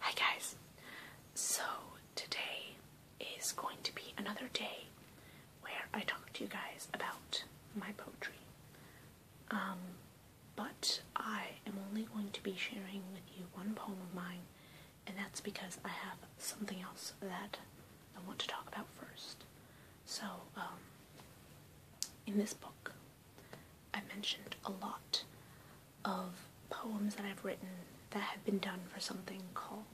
Hi guys! So today is going to be another day where I talk to you guys about my poetry. Um, but I am only going to be sharing with you one poem of mine, and that's because I have something else that I want to talk about first. So, um, in this book, I mentioned a lot of poems that I've written that have been done for something called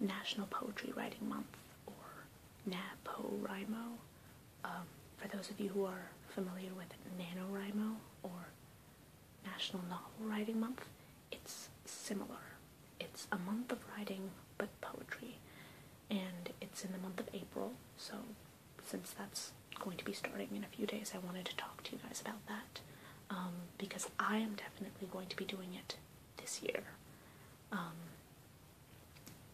National Poetry Writing Month or Napo Um, for those of you who are familiar with NaNoWriMo or National Novel Writing Month, it's similar. It's a month of writing but poetry, and it's in the month of April, so since that's going to be starting in a few days, I wanted to talk to you guys about that um, because I am definitely going to be doing it this year. Um,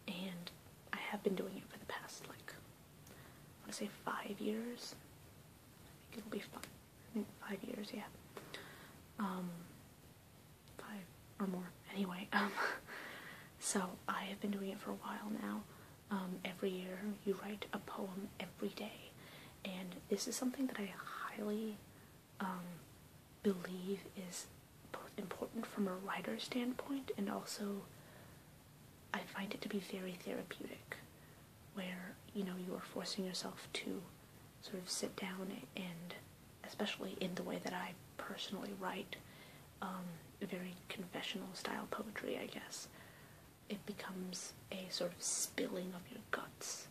and I have been doing it for the past, like, I want to say five years. I think it'll be fun. I think five years, yeah. Um, five or more. Anyway, so I have been doing it for a while now um, every year. You write a poem every day, and this is something that I highly um, believe is both important from a writer's standpoint and also I find it to be very therapeutic, where you know you are forcing yourself to sort of sit down and, especially in the way that I personally write, um, very confessional style poetry, I guess. It becomes a sort of spilling of your guts,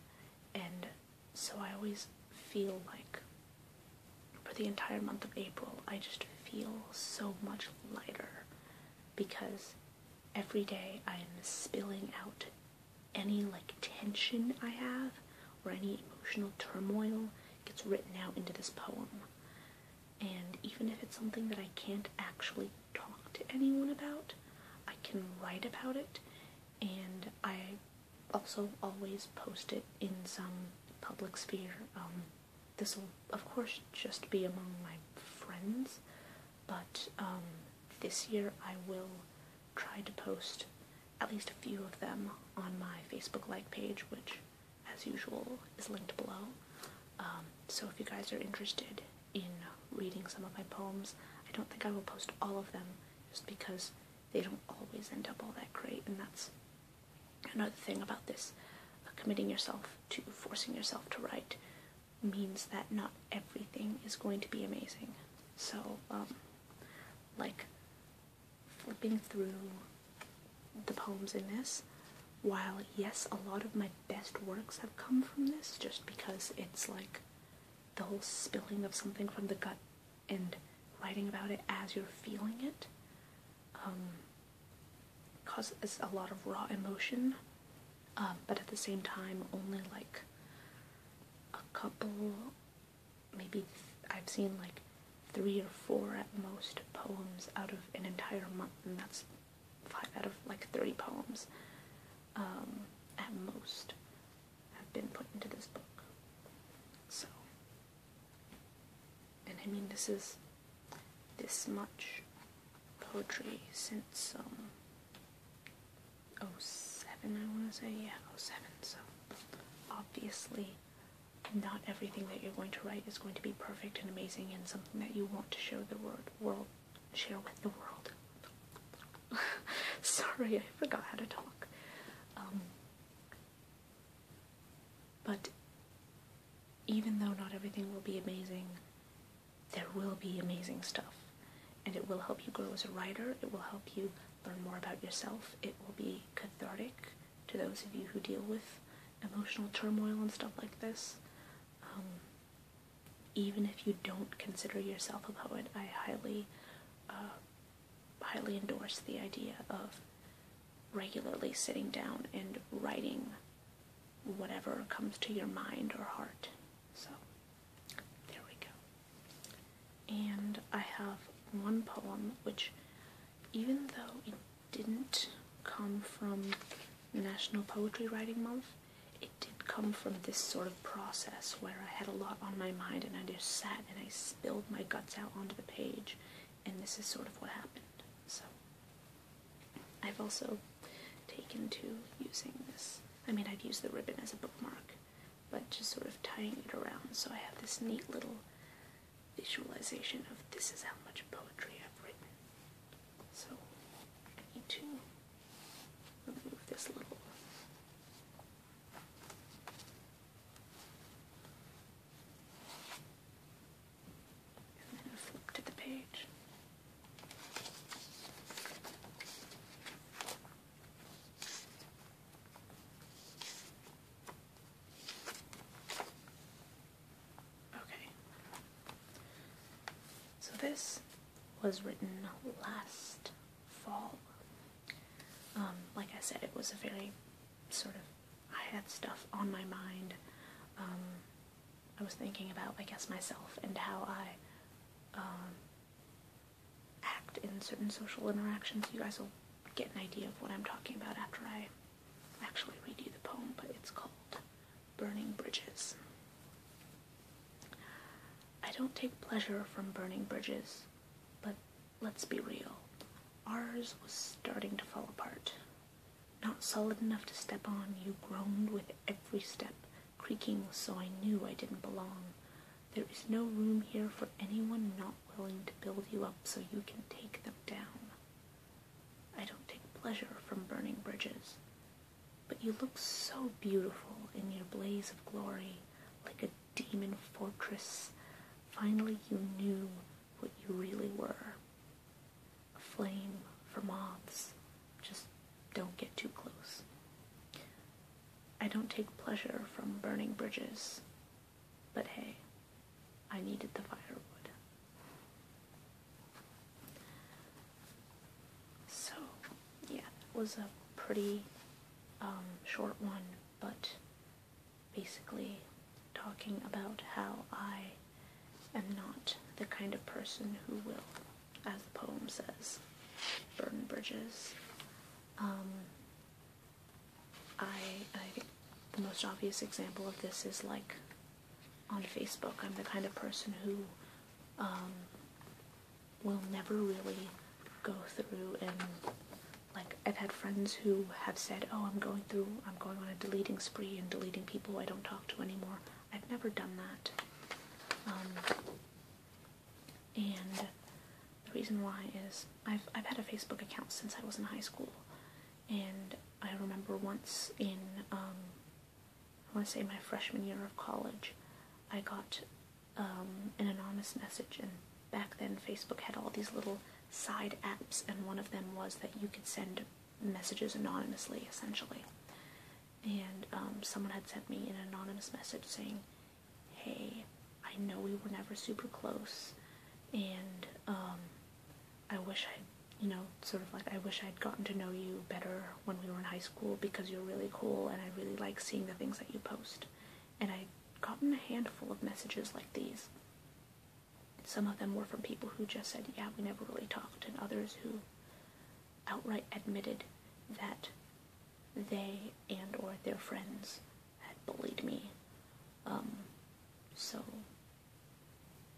and so I always feel like for the entire month of April, I just feel so much lighter because every day I am spilling out any like tension I have or any emotional turmoil gets written out into this poem. And even if it's something that I can't actually talk to anyone about, I can write about it, and I also always post it in some public sphere. Um, this will, of course, just be among my friends, but um, this year I will try to post at least a few of them on my Facebook like page, which as usual, is linked below. Um, so if you guys are interested in reading some of my poems, I don't think I will post all of them just because they don't always end up all that great, and that's another thing about this. Uh, committing yourself to forcing yourself to write means that not everything is going to be amazing. So, um, like, flipping through the poems in this. While, yes, a lot of my best works have come from this, just because it's like the whole spilling of something from the gut and writing about it as you're feeling it um, causes a lot of raw emotion, um, but at the same time, only like a couple, maybe I've seen like three or four at most poems out of an entire month, and that's five out of like 30 poems um, at most have been put into this book. So, and I mean, this is this much poetry since um, 07, I want to say, yeah, 07, so obviously not everything that you're going to write is going to be perfect and amazing and something that you want to show the world, share with the world. Sorry, I forgot how to talk. Um, but even though not everything will be amazing, there will be amazing stuff. And it will help you grow as a writer, it will help you learn more about yourself, it will be cathartic, to those of you who deal with emotional turmoil and stuff like this. Um, even if you don't consider yourself a poet, I highly, uh, highly endorse the idea of regularly sitting down and writing whatever comes to your mind or heart. So, there we go. And I have one poem which even though it didn't come from National Poetry Writing Month, it did come from this sort of process where I had a lot on my mind and I just sat and I spilled my guts out onto the page, and this is sort of what happened. So, I've also taken to using this. I mean, I've used the ribbon as a bookmark, but just sort of tying it around so I have this neat little visualization of this is how much poetry I've written. So need to remove this little and then flip to the page. Okay. So this was written last fall. Um, like I said, it was a very sort of, I had stuff on my mind. Um, I was thinking about, I guess, myself and how I um, act in certain social interactions. You guys will get an idea of what I'm talking about after I actually read you the poem, but it's called Burning Bridges. I don't take pleasure from burning bridges, but let's be real. Ours was starting to fall apart. Not solid enough to step on, you groaned with every step, creaking so I knew I didn't belong. There is no room here for anyone not willing to build you up so you can take them down. I don't take pleasure from burning bridges, but you look so beautiful in your blaze of glory, like a demon fortress. Finally, you knew what you really were. A flame for moths. Just don't get too close. I don't take pleasure from burning bridges, but hey, I needed the firewood. So, yeah, that was a pretty um, short one, but basically talking about how I am not the kind of person who will, as the poem says, burn bridges. Um, I, the most obvious example of this is like on Facebook. I'm the kind of person who um, will never really go through and like I've had friends who have said, "Oh, I'm going through, I'm going on a deleting spree and deleting people I don't talk to anymore." I've never done that. Um, and the reason why is I've I've had a Facebook account since I was in high school, and I remember once in um, I want to say my freshman year of college, I got um, an anonymous message, and back then Facebook had all these little side apps, and one of them was that you could send messages anonymously, essentially. And um, someone had sent me an anonymous message saying, hey, I know we were never super close, and um, I wish I, you know, sort of like I wish I'd gotten to know you better when we were in high school because you're really cool and I really like seeing the things that you post. And I'd gotten a handful of messages like these. Some of them were from people who just said, yeah, we never really talked, and others who outright admitted that they and or their friends had bullied me. Um, so,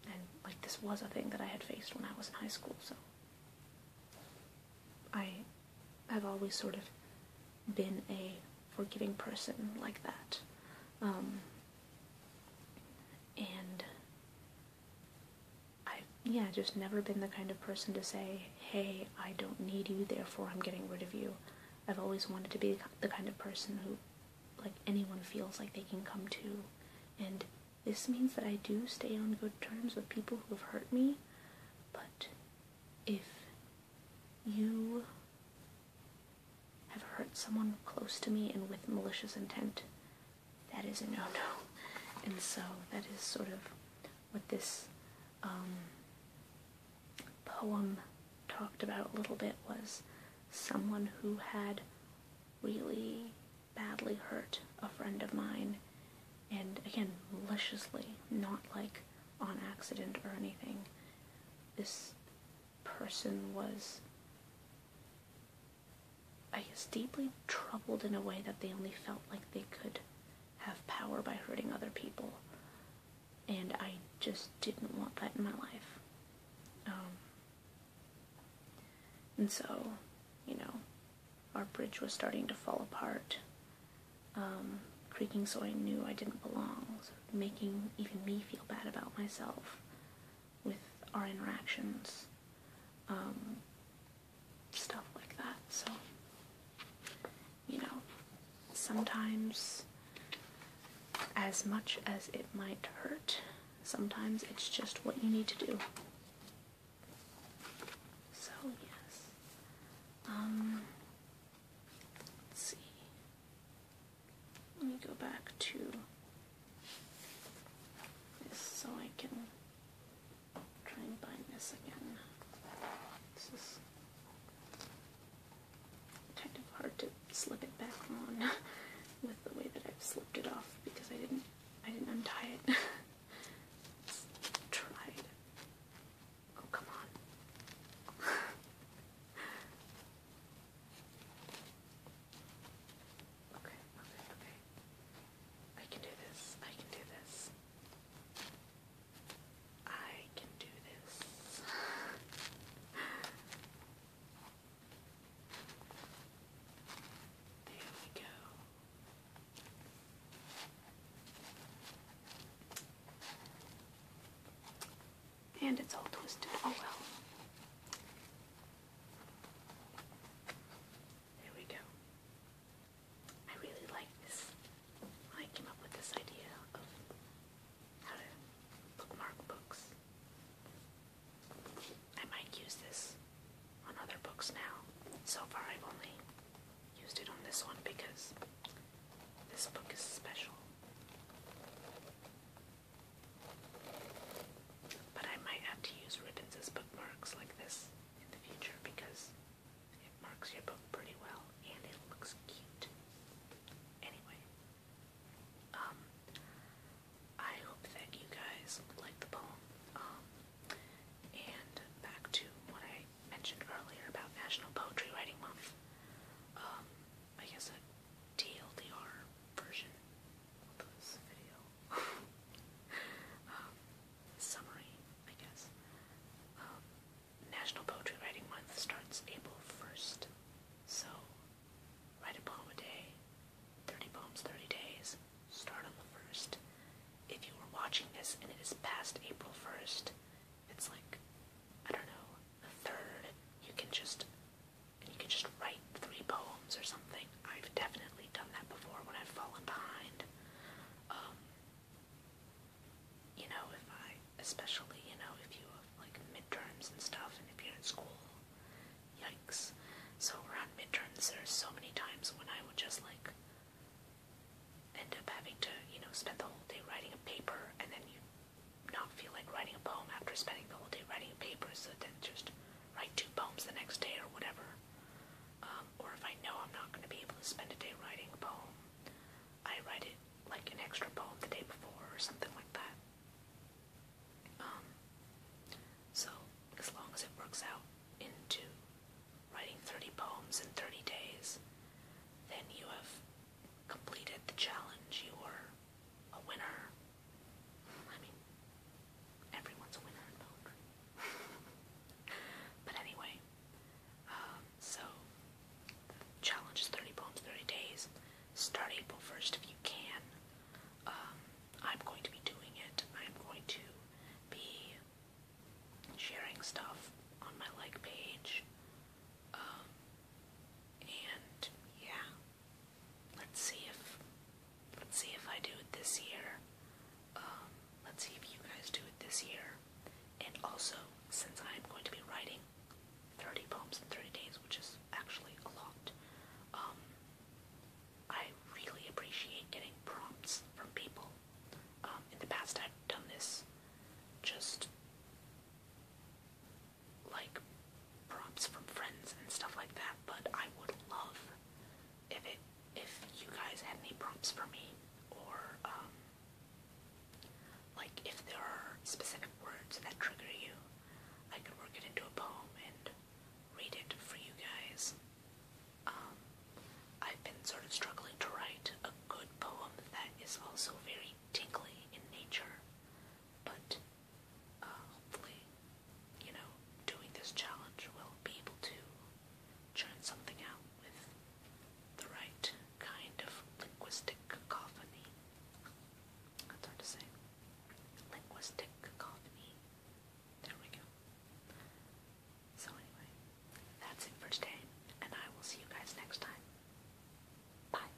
and like this was a thing that I had faced when I was in high school, so I have always sort of been a forgiving person like that. Um, and I've, yeah, just never been the kind of person to say, hey, I don't need you, therefore I'm getting rid of you. I've always wanted to be the kind of person who, like, anyone feels like they can come to. And this means that I do stay on good terms with people who have hurt me, but if you have hurt someone close to me and with malicious intent, that is a no-no. And so that is sort of what this um, poem talked about a little bit was someone who had really badly hurt a friend of mine, and again, maliciously, not like on accident or anything. This person was, I guess, deeply troubled in a way that they only felt like they could have power by hurting other people. And I just didn't want that in my life. Um, and so, you know, our bridge was starting to fall apart, um, creaking so I knew I didn't belong, making even me feel bad about myself with our interactions. Um, stuff like that. So, you know, sometimes as much as it might hurt, sometimes it's just what you need to do. So, yes. Um, let's see. Let me go back to this so I can try and bind this again. This is kind of hard to slip it back on with the way that I've slipped it off because I didn't I didn't untie it. tried. Oh come on. Okay, okay, okay. I can do this. I can do this. I can do this. there we go. And it's all twisted. Oh well. There we go. I really like this. I came up with this idea of bookmark books. I might use this on other books now. So far I've only used it on this one because this book is special. But I might have to use ribbons as bookmarks like this in the future because it marks your book pretty well and it looks cute. Anyway, um, I hope that you guys like the poem. Um, and back to what I mentioned earlier about National Poetry Writing Month. Um, I guess a version Um, summary, I guess. Um, National Poetry Writing Month starts April 1st, so write a poem a day, 30 poems, 30 days, start on the 1st. If you are watching this and it is past April 1st, it's like, I don't know, the 3rd, you can just and you can just write three poems or something. I've definitely done that before when I've fallen behind. Um, you know, if I, especially, you know, if you have like midterms and stuff, and if you're in school, yikes. So around midterms, there's so many times when I would just like end up having to, you know, spend the whole day writing a paper, and then you not feel like writing a poem after spending the whole day writing a paper, so then just write two poems the next day or whatever. Um, or if I know I'm not going to be able to spend a day writing a poem, I write it like an extra poem the day before or something like that. Um, so as long as it works out into writing 30 poems in 30 days, then you have completed the challenge. You are a winner. I mean, everyone's a winner in poetry. but anyway, um, so challenge is 30 poems, 30 days. Start April 1st if you can. Um, I'm going to be doing it. I'm going to be sharing stuff on my like page. Um, and yeah, let's see if let's see if I do it this year. Um, let's see if you guys do it this year. And also, since I'm going to be writing 30 poems in 30 days, which is actually a lot, um, I really appreciate getting prompts from people. Um, in the past, I've done this just like props from friends and stuff like that, but I would love if it if you guys had any prompts for me or um, like if there are specific words that trigger you, I could work it into a poem and read it for you guys. Um, I've been sort of struggling to write a good poem that is also very tingly in nature, but um, hopefully, you know, doing this challenge will be able to churn something out with the right kind of linguistic cacophony. That's hard to say. Linguistic cacophony. There we go. So anyway, that's it for today, and I will see you guys next time. Bye.